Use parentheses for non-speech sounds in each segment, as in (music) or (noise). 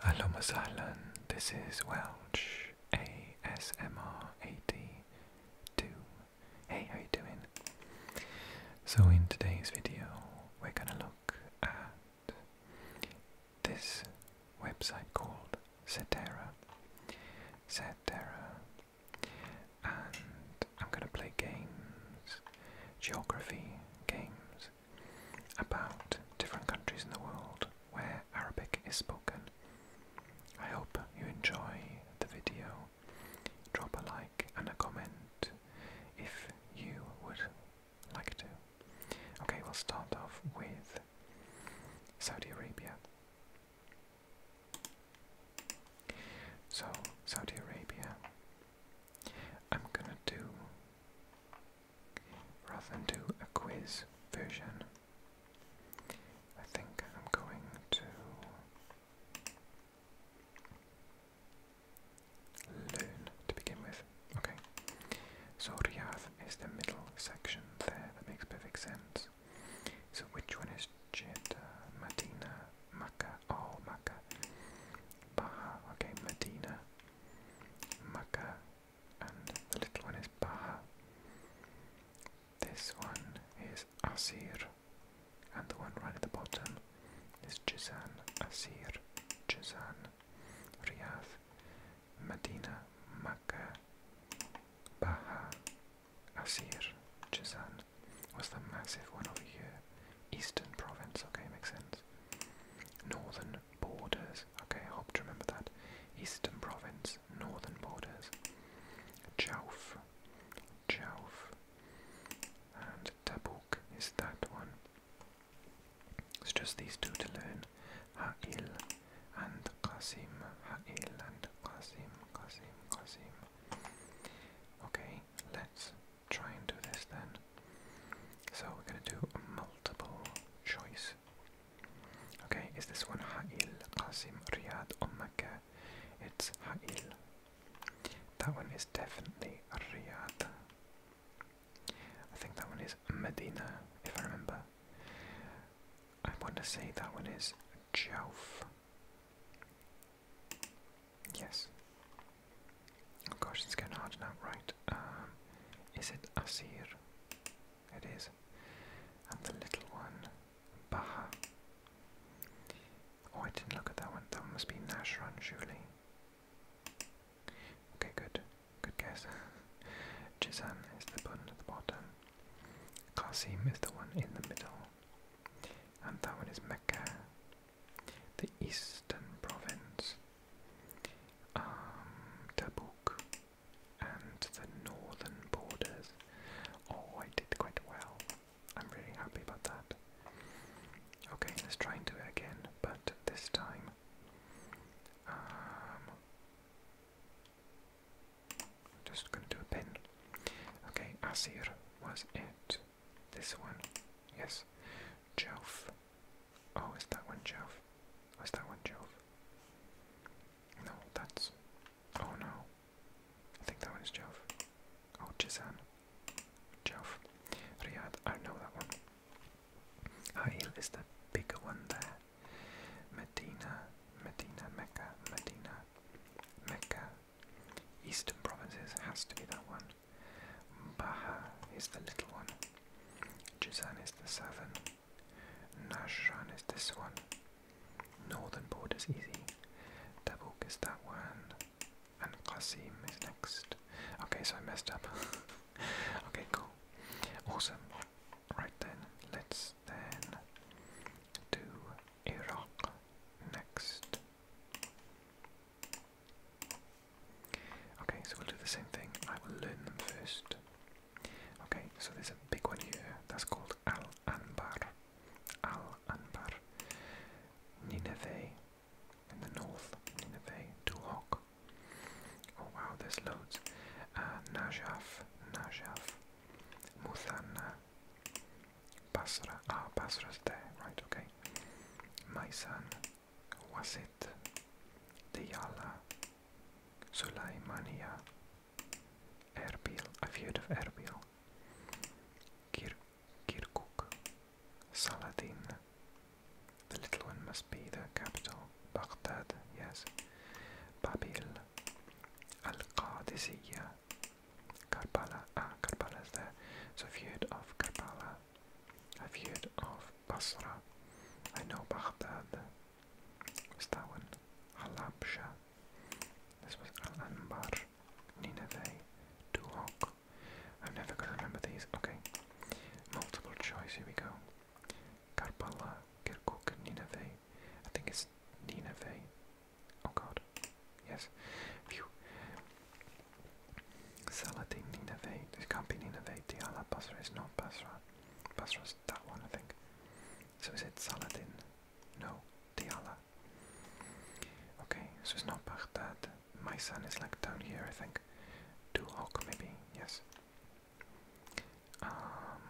Hello, Miss Island. This is Welch ASMR 82. Hey, how you doing? So in today's video, we're gonna look at this website called Cetera. Cetera, and I'm gonna play games, geography games about different countries in the world where Arabic is spoken. I hope you enjoy the video. Drop a like and a comment if you would like to. Okay, we'll start off with Saudi Arabia. So, Saudi Arabia, I'm gonna do rather than do a quiz version. I think I'm going to learn to begin with. Okay, so Riyadh is the middle section there, that makes perfect sense. So which one is Jeddah, Medina, Makkah? Oh, Makkah. Baha, okay, Medina. Maka, and the little one is Baha. This one is Asir, and the one right at the bottom is Jizan, Asir, Jizan, Riyadh, Medina, Mecca, Baha, Asir, Jizan was the massive one over here, Eastern province, okay, makes sense. Northern borders, okay, I hope to remember that. Eastern province, northern borders. Jauf, Jauf, and Tabuk is that one. It's just these two to learn. Ha'il and Qasim, Ha'il and Qasim, Qasim, Qasim. Okay, let's try and do this then. So we're going to do multiple choice. Okay, is this one Ha'il, Qasim, Riyadh, or Mecca? It's Ha'il. That one is definitely Riyadh. I think that one is Medina, if I remember. I want to say that one is Jauf. Yes. Of course, it's getting hard now. Right. Um, is it Asir? It is. And the little one, Baha. Oh, I didn't look at that one. That must be Nashran, surely. Okay, good. Good guess. (laughs) Jizan is the one at the bottom. Qasim is the one in the middle. And that one is Mecca the Eastern Province, um, Tabuk, and the northern borders. Oh, I did quite well. I'm really happy about that. Okay, let's try and do it again, but this time. Um, just going to do a pin. Okay, Asir was it. This one. Yes. Jove. Oh, is that one Jove? Was that one Jove? No, that's. Oh no. I think that one is Jove. Oh, Jizan. Jove. Riyadh. I know that one. Ha'il is the bigger one there. Medina. Medina. Mecca. Medina. Mecca. Eastern provinces has to be that one. Baha is the little one. Jizan is the seven. Nashran is this one. Northern border's easy. Tabuk is that one. And Qasim is next. Okay, so I messed up. (laughs) okay, cool. Awesome. Right then, let's then do Iraq next. Okay, so we'll do the same thing. I will learn them first. Okay, so there's a big one here. That's called Al Anbar. Al Anbar. Nineveh in the north. Nineveh. Duhok. Oh wow, there's loads. Uh, Najaf. Najaf. Muthanna. Basra. Ah, Basra's there. Right, okay. My son was it Diyala, Sulaimania, Erbil, A have of Erbil, Kir Kirkuk, Saladin, the little one must be the capital, Baghdad, yes, Babil, Al-Qadisiyah, Karbala, ah, is there, so I've of Karbala, I've heard of Basra. I know Baghdad. Was that one? Halabja. This was Al Anbar. Nineveh. Duhok. I'm never gonna remember these. Okay. Multiple choice, here we go. Karbala, Kirkuk, Nineveh. I think it's Nineveh. Oh god. Yes. Phew. Saladin Nineveh. This can't be Nineveh. Diyala Basra is not Basra. Basra's that one, I think. So is it Saladin? No, Diyala. Okay, so it's not Baghdad. My son is like down here, I think. Duhok, maybe. Yes. Um,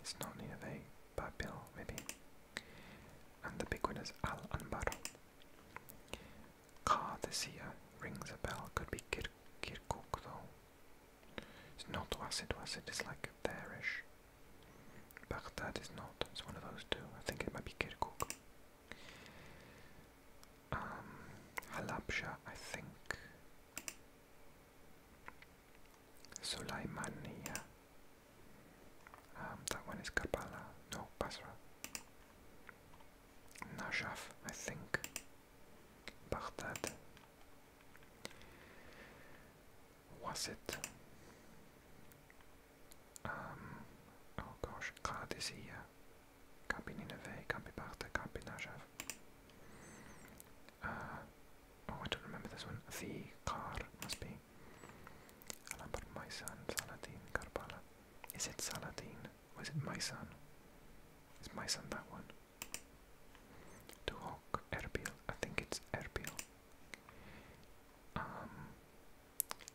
it's not Nineveh. Babil, maybe. And the big one is Al Anbar. Cardicea rings a bell. Could be Kir Kirkuk though. It's not Wasid. Wasid It's like there But that is not. It's one of those two. I think it might be Kirkuk. Um, Halabja, I think. Sulaimania. Um, that one is Karbala, no, Basra. Najaf, I think. Baghdad. Was it? Um, oh gosh, Qadisiyya. Can't be Nineveh, can Baghdad, can't uh, oh, I don't remember this one. The Qar must be. And my son, Saladin Karbala. Is it Saladin? Or is it my son? Is my son that one? Duhok, Erbil. I think it's Erbil. Um,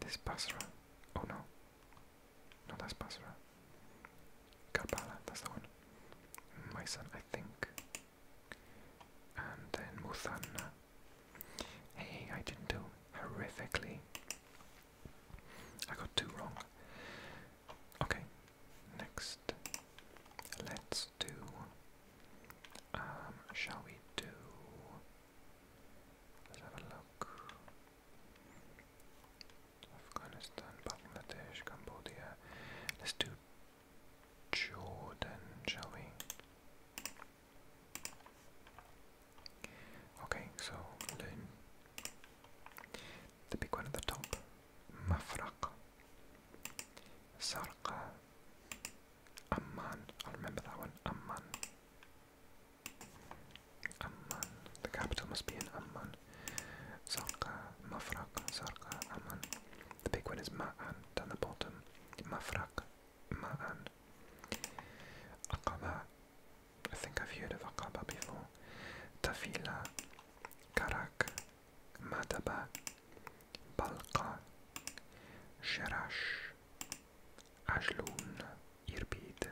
this Basra. Oh no. No, that's Basra. Karbala, that's the one. My son, I think. And then Muthanna. Hey, I did do horrifically. I got two wrong. Okay, next. Let's do. Um, shall we do. Let's have a look. Afghanistan, Bangladesh, Cambodia. Let's do Jordan, shall we? Okay, so the big one at the top. Mafraq. Sarqa. Amman. i remember that one. Amman. Amman. The capital must be in Amman. Sarqa. Mafraq. Sarqa. Amman. The big one is Ma'an down the bottom. Mafraq. Ma'an. Aqaba. Uh, I think I've heard of akaba before. Tafila. Karak. Madaba. Balqa. Sherash. Ajloun. Irbid.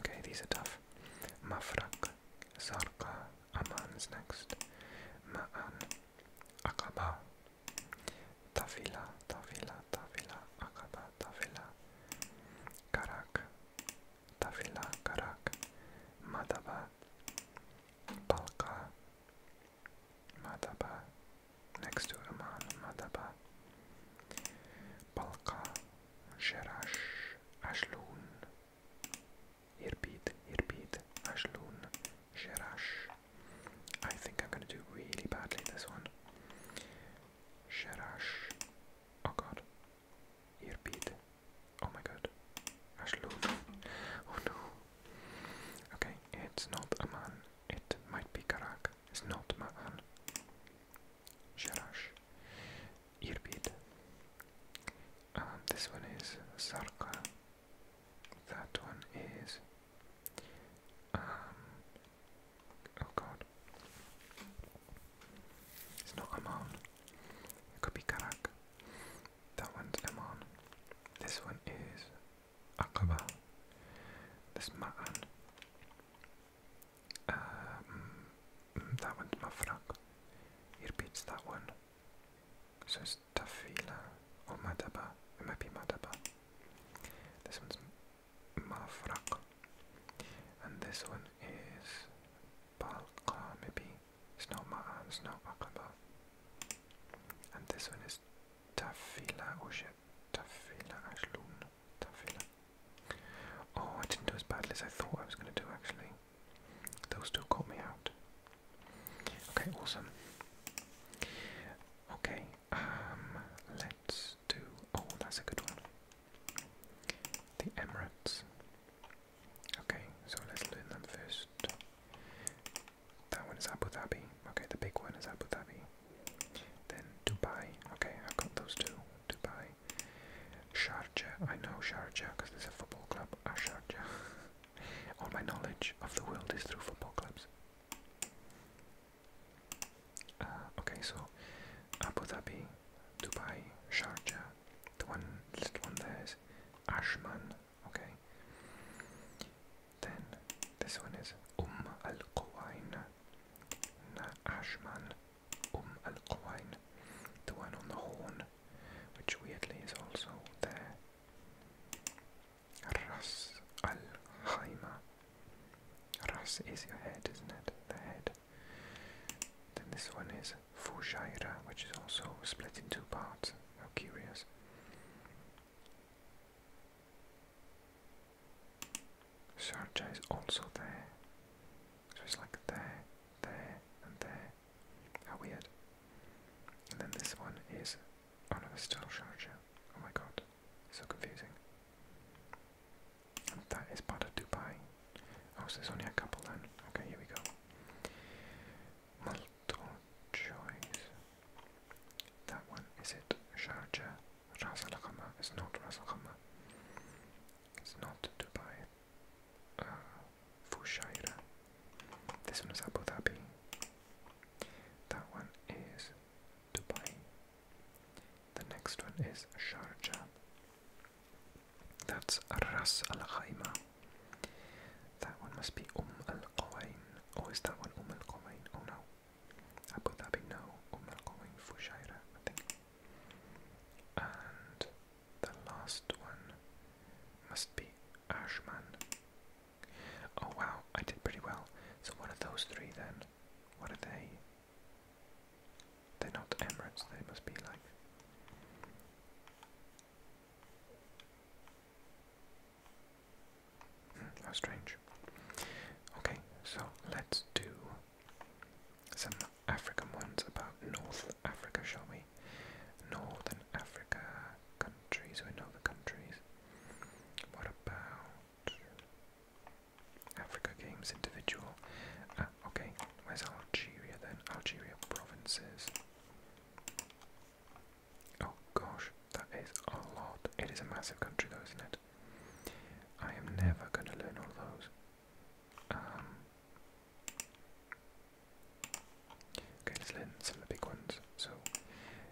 Okay, these are tough. Mafraq. Zarqa. Amman's next. Ma'an. Aqaba. Tafila, Tafila, Tafila, Akaba, Tafila, Karak, Tafila, Karak, Madaba, Balka, Madaba, next to Amman, Madaba, Balka, Sherash, Ashloon, Irbid, Irbid, Ashloon, Sherash. I think I'm going to do really badly this one. Sherash. Oh god. Irpid. Oh my god. Ashluv. Oh no. Okay, it's not a man. It might be Karak. It's not man. Sherash. Irbid. Um, this one is Sarka. That one is um, oh god. It's not Amman. It could be Karak. That one's Amman. This one is Aqaba. This Ma'an. Um, mm, that one's Mafraq. He repeats that one. So it's Tafila or Madaba. It might be Madaba. This one's Mafraq. And this one is Balqa, maybe. It's not Ma'an, it's not Aqaba. And this one is Tafila, oh shit. Tafila Ashloon. Tafila. Oh, I didn't do as badly as I thought I was going to do actually. Those two caught me out. Okay, awesome. Okay, um, let's do. Oh, that's a good one. The Emirates. Okay, so let's learn them first. That one is Abu Dhabi. Okay, the big one is Abu Dhabi. Then Dubai. Okay, I've got those two. Dubai. Sharjah. I know Sharjah because there's a football club at ah, Sharjah. (laughs) All my knowledge of the world is through football clubs. Uh, okay, so Abu Dhabi, Dubai, Sharjah. The one list one there is Ashman. Okay. Then this one is Um Al Quwain. Na Ashman, Um Al Quwain. The one on the horn, which weirdly is also there. Ras al Khaima. Ras is your head, isn't it? The head. Then this one is Fujaira, which is also split in two parts. How curious. Sharjah is also there. So it's like there, there, and there. How weird. And then this one is Oh no, it's still Sharjah. Oh my god, so confusing. that is part of Dubai. Oh, so there's only a couple then. Okay, here we go. Multiple choice. That one, is it Sharjah? Ras Al Khaimah? It's not Ras Al Khaimah. It's not Dubai. Uh, This one is Abu Dhabi. That one is Dubai. The next one is Sharjah. That's Ras Al Khaimah. That one must be Um Al Qawain. Oh, is that one Um Al Qawain? Oh no. Abu Dhabi, no. Um Al Qawain, Fujairah, I think. And the last one must be Ashman. Oh wow, I did pretty well. So what are those three then? What are they? They're not Emirates, they must be like. Hmm, how strange. Okay, so let's do some African ones about North Africa, shall we? Northern Africa countries, we know the countries. What about Africa Games individual? Ah, okay, where's Algeria then? Algeria provinces. Oh gosh, that is a lot. It is a massive country though, isn't it? I am never going to learn all those. Um, okay, let's learn some of the big ones. So,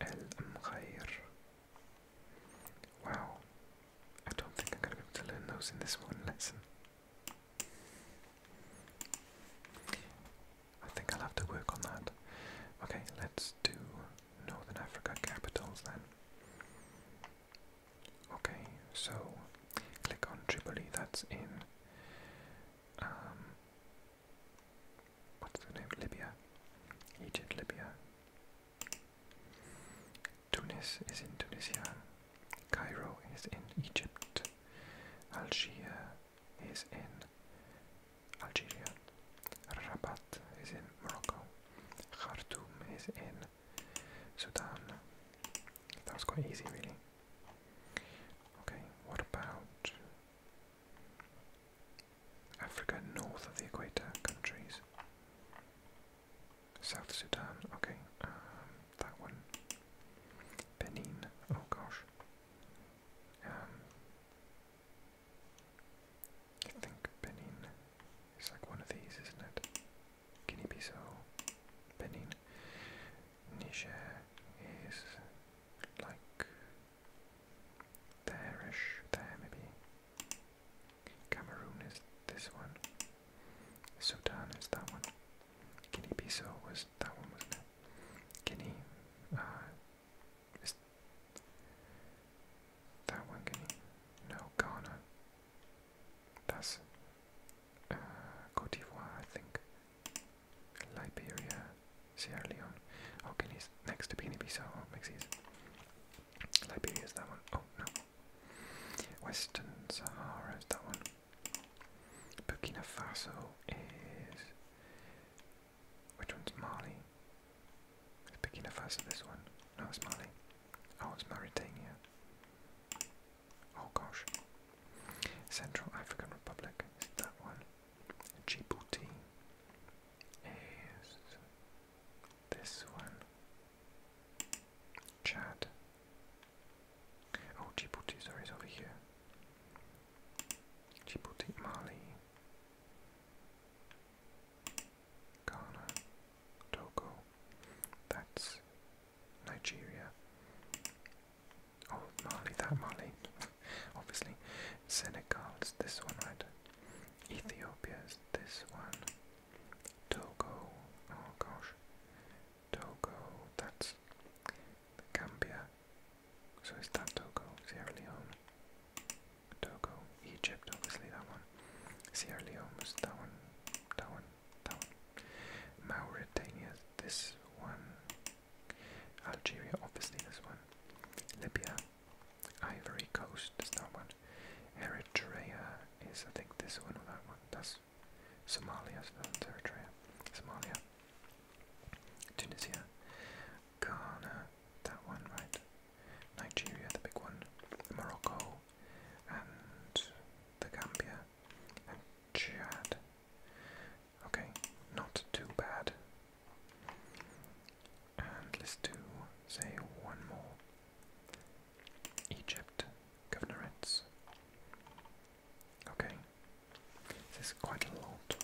Al-Mghayr. Wow. I don't think I'm going to be able to learn those in this one lesson. I think I'll have to work on that. Okay, let's do Northern Africa capitals then. Okay, so click on Tripoli, that's in. Um, what's the name? Libya. Egypt, Libya. Tunis is in Tunisia. Cairo is in Egypt. Algiers is in Algeria. Rabat is in Morocco. Khartoum is in Sudan. That was quite easy, really. Okay, what about Africa north of the equator countries. South Sudan, okay, um, that one. Benin, oh gosh. Um, I think Benin is like one of these, isn't it? Guinea-Bissau, Benin. Niger is like there-ish, there maybe. Cameroon is this one. Sudan is that one. Guinea-Bissau was that one, wasn't Guinea, uh, that one Guinea? No, Ghana. That's uh, Cote d'Ivoire, I think. Liberia, Sierra Leone. Oh, he's next to guinea so Oh, makes easy. Liberia is that one. Oh, no. Western Sahara is that one. Burkina Faso is... Which one's Mali? Is Burkina Faso this one? No, it's Mali. Oh, it's Mauritania. Oh gosh. Central African Republic is that one. Gibuti is this one. Chad. Oh, Djibouti, sorry, it's over here. Djibouti, Mali. Ghana. Togo. That's Nigeria. Oh, Mali, that Mali. Obviously. Senegal is this one, right? Ethiopia is this one. Togo. Oh gosh. Togo, that's Gambia. So is that Togo? Sierra Leone. Togo. Egypt, obviously that one. Sierra Leone was that one. That one. That one. Mauritania is this one. Algeria, obviously, this one. Libya, Ivory Coast is that one. Eritrea is, I think, this one or that one. That's Somalia, so that's Eritrea. Somalia, Tunisia, Ghana, that one, right? Nigeria, the big one. Morocco, and the Gambia, and Chad. Okay, not too bad. let's do, say, one more. Egypt, governorates. Okay, this is quite a lot.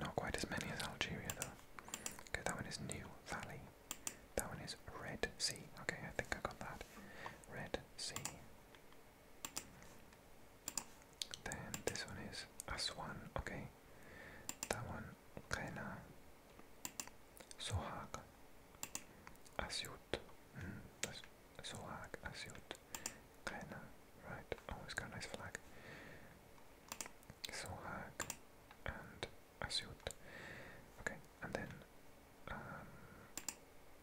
Not quite as many as Algeria though. Okay, that one is New Valley. That one is Red Sea. Okay, I think I got that. Red Sea. Then this one is Aswan, okay. That one, Rena, Sohag, Asyut, mm, that's Sohag, Asyut, Rena, right, oh, it's got a nice flag. Sohag and Asyut, okay, and then um,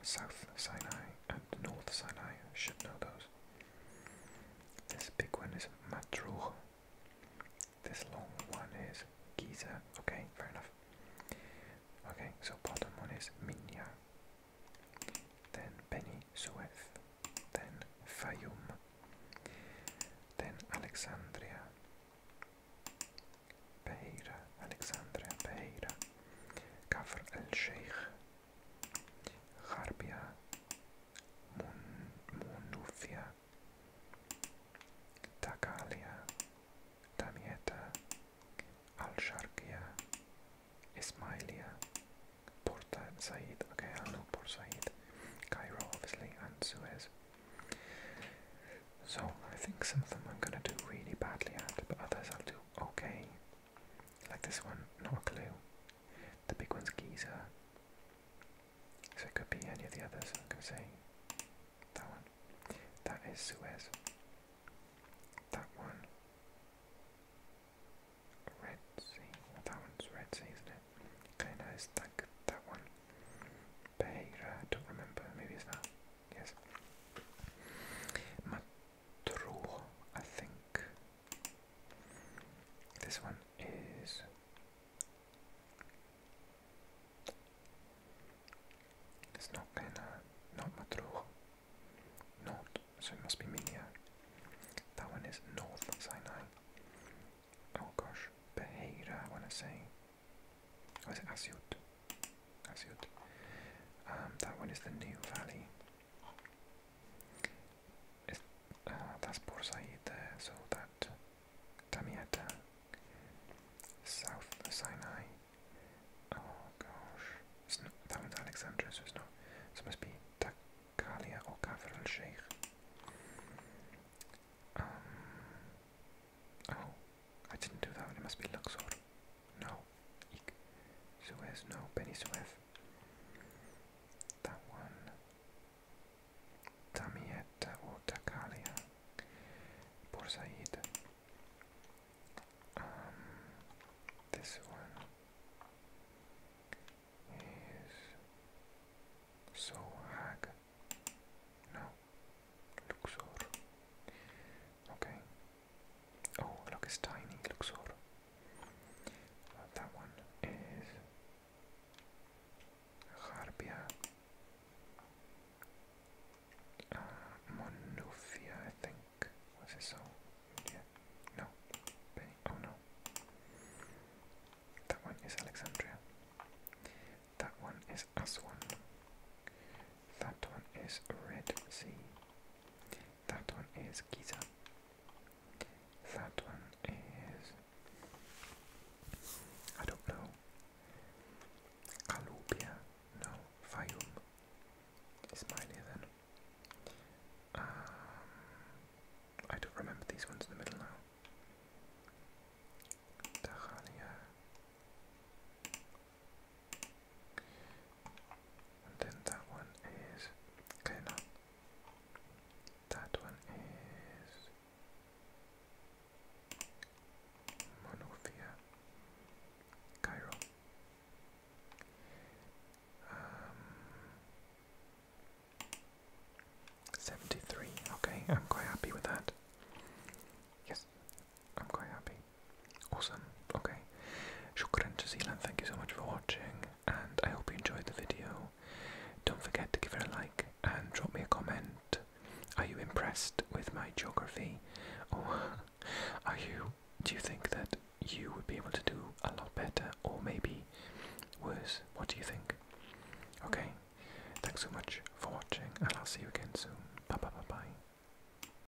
South Sinai and North Sinai. should know those. This big one is Matruh. This long one is Giza. Okay, fair enough. Okay, so bottom one is Minya. Then Beni Suef. Then Fayum. Then Alexandria. Beira, Alexandria, Beira. Kafr al Sheikh. Harbia, Munufia, Takalia, Damietta, Al-Sharkia, Ismailia, Port Said, okay I know Port Said, Cairo obviously and Suez. So I think some of them I'm gonna do really badly at, but others I'll do okay. Like this one, not a clue. The big one's Giza. So it could be any of the others. I'm say that one. That is Suez. That one. Red Sea. that one's Red Sea, isn't it? Okay, no, that, that one. Beira, I don't remember. Maybe it's that. Yes draw, I think. This one is it's not gonna not Matruh. Not so it must be Minia. That one is North Sinai. Oh gosh. Beheira I wanna say. Or oh, is it Asyut? Asyut. Um that one is the new valley. Ah, that's Port Said there, so that Tamieta, South Sinai. Oh gosh, it's not, that one's Alexandria, so it's not. it must be Takalia or Kafir al Sheikh. Um, oh, I didn't do that one. It must be Luxor. No. Ik. Suez, no. Penny Suez. That one. Tamieta or Takalia. Borsaid. Um, this one is Sohag. No, Luxor. Okay, Oh, look, it's tiny Luxor. Uh, that one is Harbia. Uh, Monufia, I think. Was it so? Yeah. No. Oh no. That one is Alexandria. That one is Aswan. That one is Red Sea that one is Giza. That one is I don't know. Calubia, no, Fayum is minor then. Um, I don't remember these ones in the middle now. Tahalia. And then that one is okay That one is Monophia Cairo. Um, seventy-three. Okay, (laughs) I'm quite happy with that. Yes, I'm quite happy. Awesome. Okay. Shukran to Thank you so much for watching, and I hope you enjoyed the video. Don't forget to give it a like and drop me a comment. Are you impressed with my geography? Or (laughs) are you? Do you think that you would be able to do a lot better, or maybe worse? What do you think? Okay. Thanks so much for watching, and I'll see you again soon. Bye bye bye bye.